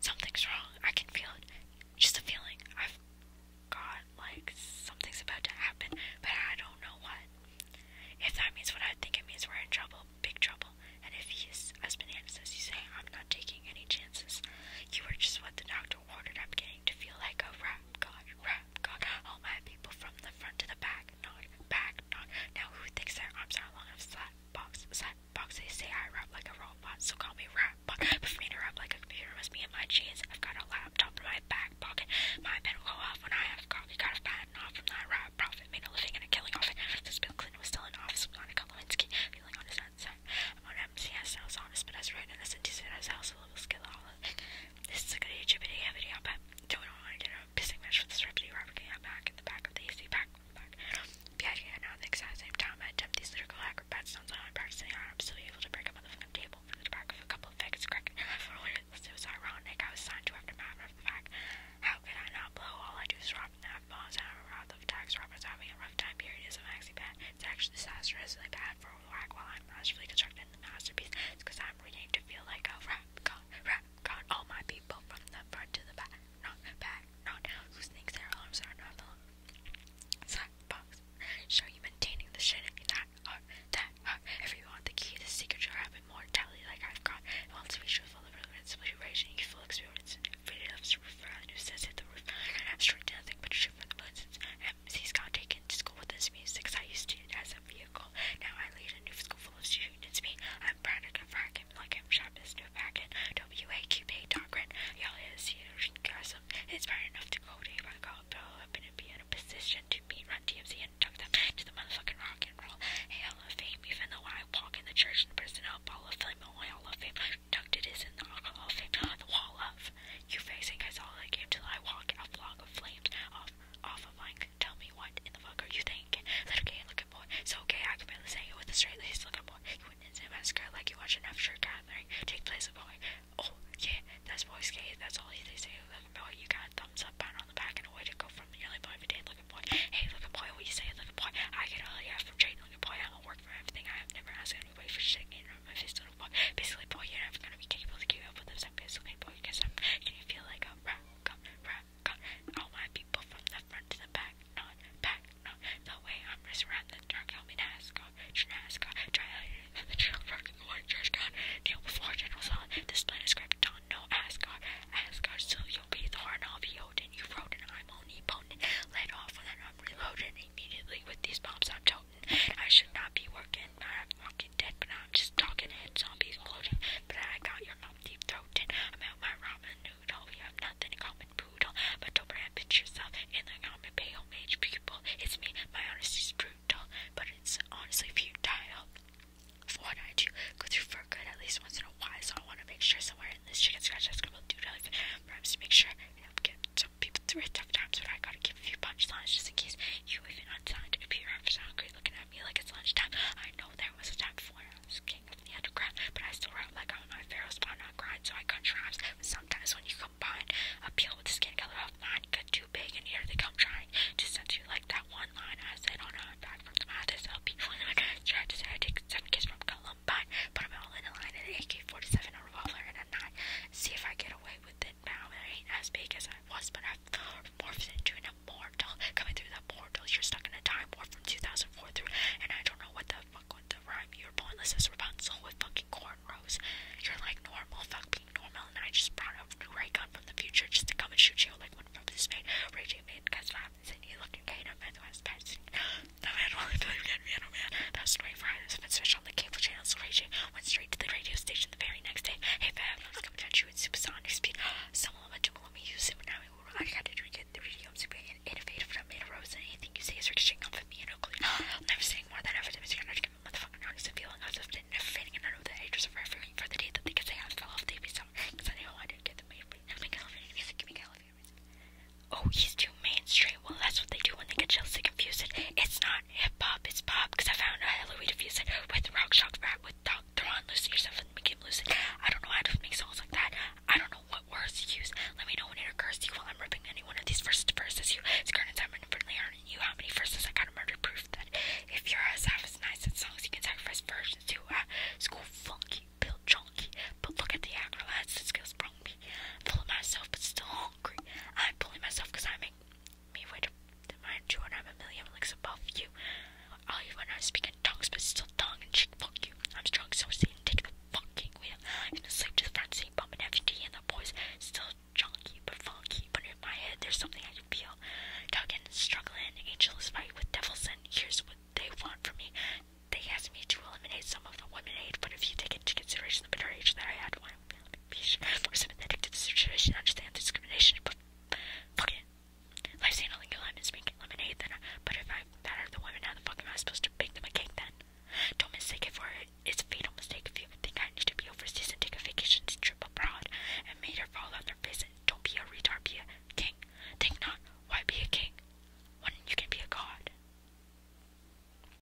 Something's wrong. I can feel it. Just a feeling. I've got like something's about to happen, but I don't know what. If that means what I think it means, we're in trouble, big trouble. And if he's, as Banana says, you say, I'm not taking any chances. You were just what the doctor ordered. I'm getting to feel like a rap god, rap god. All my people from the front to the back, not back, not now. Who thinks that arms are long enough? Slap box, slap boxes say I rap like a robot, so call me rap buck. But for me to rap like a computer must be in my jeans. I've got a laptop in my back pocket. My pen will go off when I have coffee. Got a patent off from that rap profit. Made a living and a killing off it. Since Bill Clinton was still in office, I'm not a Kalinsky. Feeling on his own set. I'm on MCS, I was honest, but I was right in a sentence and I was also a little skill all of it. This is a good YouTube video, video, but don't want to get a pissing match with this rapidly rapper. Get back in the back of the AC pack come back. Piaget and Alan at the exact same time I attempt these lyrical acrobat sounds while I'm practicing on I'm still able to break a motherfucking table for the back of a couple of eggs cracking in my forehead. It was ironic. I was signed to after matter of the fact. How could I not blow? All I do is rob and have bombs and I'm a rob of tax robbers having a rough time period is a maxi bad. It's actually disastrously bad for a whack while I'm masterfully constructing the masterpiece. It's because I'm reading to feel like a rap god round, round, round all my people from the front to the back, not back, not down, who thinks their arms are not long. Side box, show you maintaining the shin that are, uh, that are, uh, everyone, the key to the secret to having mortality like I've got, and wants to be truthful, the relevant, situation, youthful experience, freedom of superfriend who says hit the roof, abstract to nothing but truth for the lessons, MC's got taken to school with this music, I used to it as a vehicle, now I lead a new school full of students students me. I'm proud to confront him like I'm sharp as new packet. WAQP doctrine. Y'all is enthusiasm. It's bad enough to go day by call, throw up and be in a position to meet run DMC and tuck them to the motherfucking rock and roll. Hail of fame, even though I walk in the church and personnel ball of fame, oh my hall of fame. Tucked it is in the alcohol fame, the wall of you facing I saw that game till I walk out vlog of flames off off of mine tell me what in the fuck are you thinking? Is that okay? Look at boy. So okay, I can barely say it with a straight face. Look at boy. You wouldn't instant mascara like you watch an after gathering take place of oh boy. Oh yeah, that's boy skate. That's all they say. Look at boy. You got a thumbs up, pound on the back, and a way to go from nearly boy every day. Look at boy. Hey, look at boy. What you say? Look at boy. I get all the ass from trading. Look at boy. I don't work for everything. I have never asked anybody for shit. You know, my face little boy. Basically, boy, you're never gonna be capable to keep up with this. I'm basically boy. Because I'm. Can you feel like a rock? Rock? I'll my people from the front to the back, not back, not the way. I'm just around the dark, help me NASCAR, NASCAR, try out the trail park in the white God, deal before General Solid, this plan is script on no Asgard, Asgard, so you'll be Thorn, I'll be Odin, you've Rodin, I'm omnipotent, let off and I'm reloading immediately with these bombs I'm toting, I should not be working, I'm dead, but now I'm just talking head zombies floating. But I got your mouth deep throated. I'm out my ramen noodle. We have nothing in common, poodle. But don't rampage yourself in the common pale age people. It's me. My honesty's brutal, but it's honestly futile. what I do, go for good at least once in a while. So I want to make sure somewhere in this chicken scratch that's gonna do life. Perhaps to make sure I help get some people through it tough times. when I gotta give a few punchlines just in case you even to appear after sound great looking like it's lunchtime. I know there was a time before I was king of the underground, but I still write like I'm my pharaoh's spawn on grind, so I contrives. Sometimes when you combine a appeal with the skin color of mine, get too big, and here they come trying to send you like that one line I said on a back from the Mathis I'll be tried to say I take seven kids from Columbine, put them all in a line, an AK 47, a revolver, and a nine. See if I get away with it it now. That ain't as big as I was, but I've morphed into an immortal. Coming through the portal, you're stuck in a time warp from 2004 through, and I don't know what the fuck with the rhyme. You're pointless as Rapunzel with fucking cornrows. You're like normal, fuck being normal, and I just brought a new ray gun from the future just to come and shoot you like one from this made. Raging man, because happens and you looking gay, no man, that's passing. No man, only believe in man, oh man. That's 24 hours of special on the cable channels, raging. Went straight to the radio station the very next day. Hey, fam, I was coming at you at supersonic speed. Someone let you let me use it when I I got to drink it. The video i super innovative and I anything you say is ricocheting off of me and Oakley. I'm never saying more than ever to Mr. Nerd to give a motherfucking notice and feeling as if they're fading and I know that I just refer for the day that they could say I fell off the ABC because I know I did get the main Oh, he's too mainstream. Well, that's what they do when they get Chelsea confuse it. It's not hip hop, it's pop. I found out how to with rock, shock, rap, with dog, Thrawn, loosen yourself and make him loosen. I don't know how to make songs like that. I don't know what words to use. Let me know when it occurs to you while I'm ripping any one of these verses to verses. You, it's current time and infinitely earning you how many verses I got a murder proof that if you're as half nice at songs, you can sacrifice versions to uh, school funky, build junky. But look at the actor lads, the skills brung me. Full of myself, but still hungry. I'm pulling myself cause I make me with mine too, and I'm a million licks above you. All you want to speak in tongues, but still tongue and cheek, fuck you. I'm strong, so see and take a fucking wheel. And the sleep to the front seat, bumping FD, and the boys still chunky but funky. But in my head, there's something I can feel. Tugging and struggling, is fighting with devil and here's what they want from me. They asked me to eliminate some of the women aid, but if you take into consideration the bitter age that I had, I will not sympathetic to the situation. I understand discrimination, but fuck it. Life's handling your lemons, making lemonade, then. But if I batter the women, how the fuck am I supposed to bake them a cake then? Don't mistake it for it. It's a fatal mistake if you think I need to be overseas and take a vacation to trip abroad and made her fall on their face. Don't be a retard, be a king. Think not. Why be a king? Why don't you can be a god.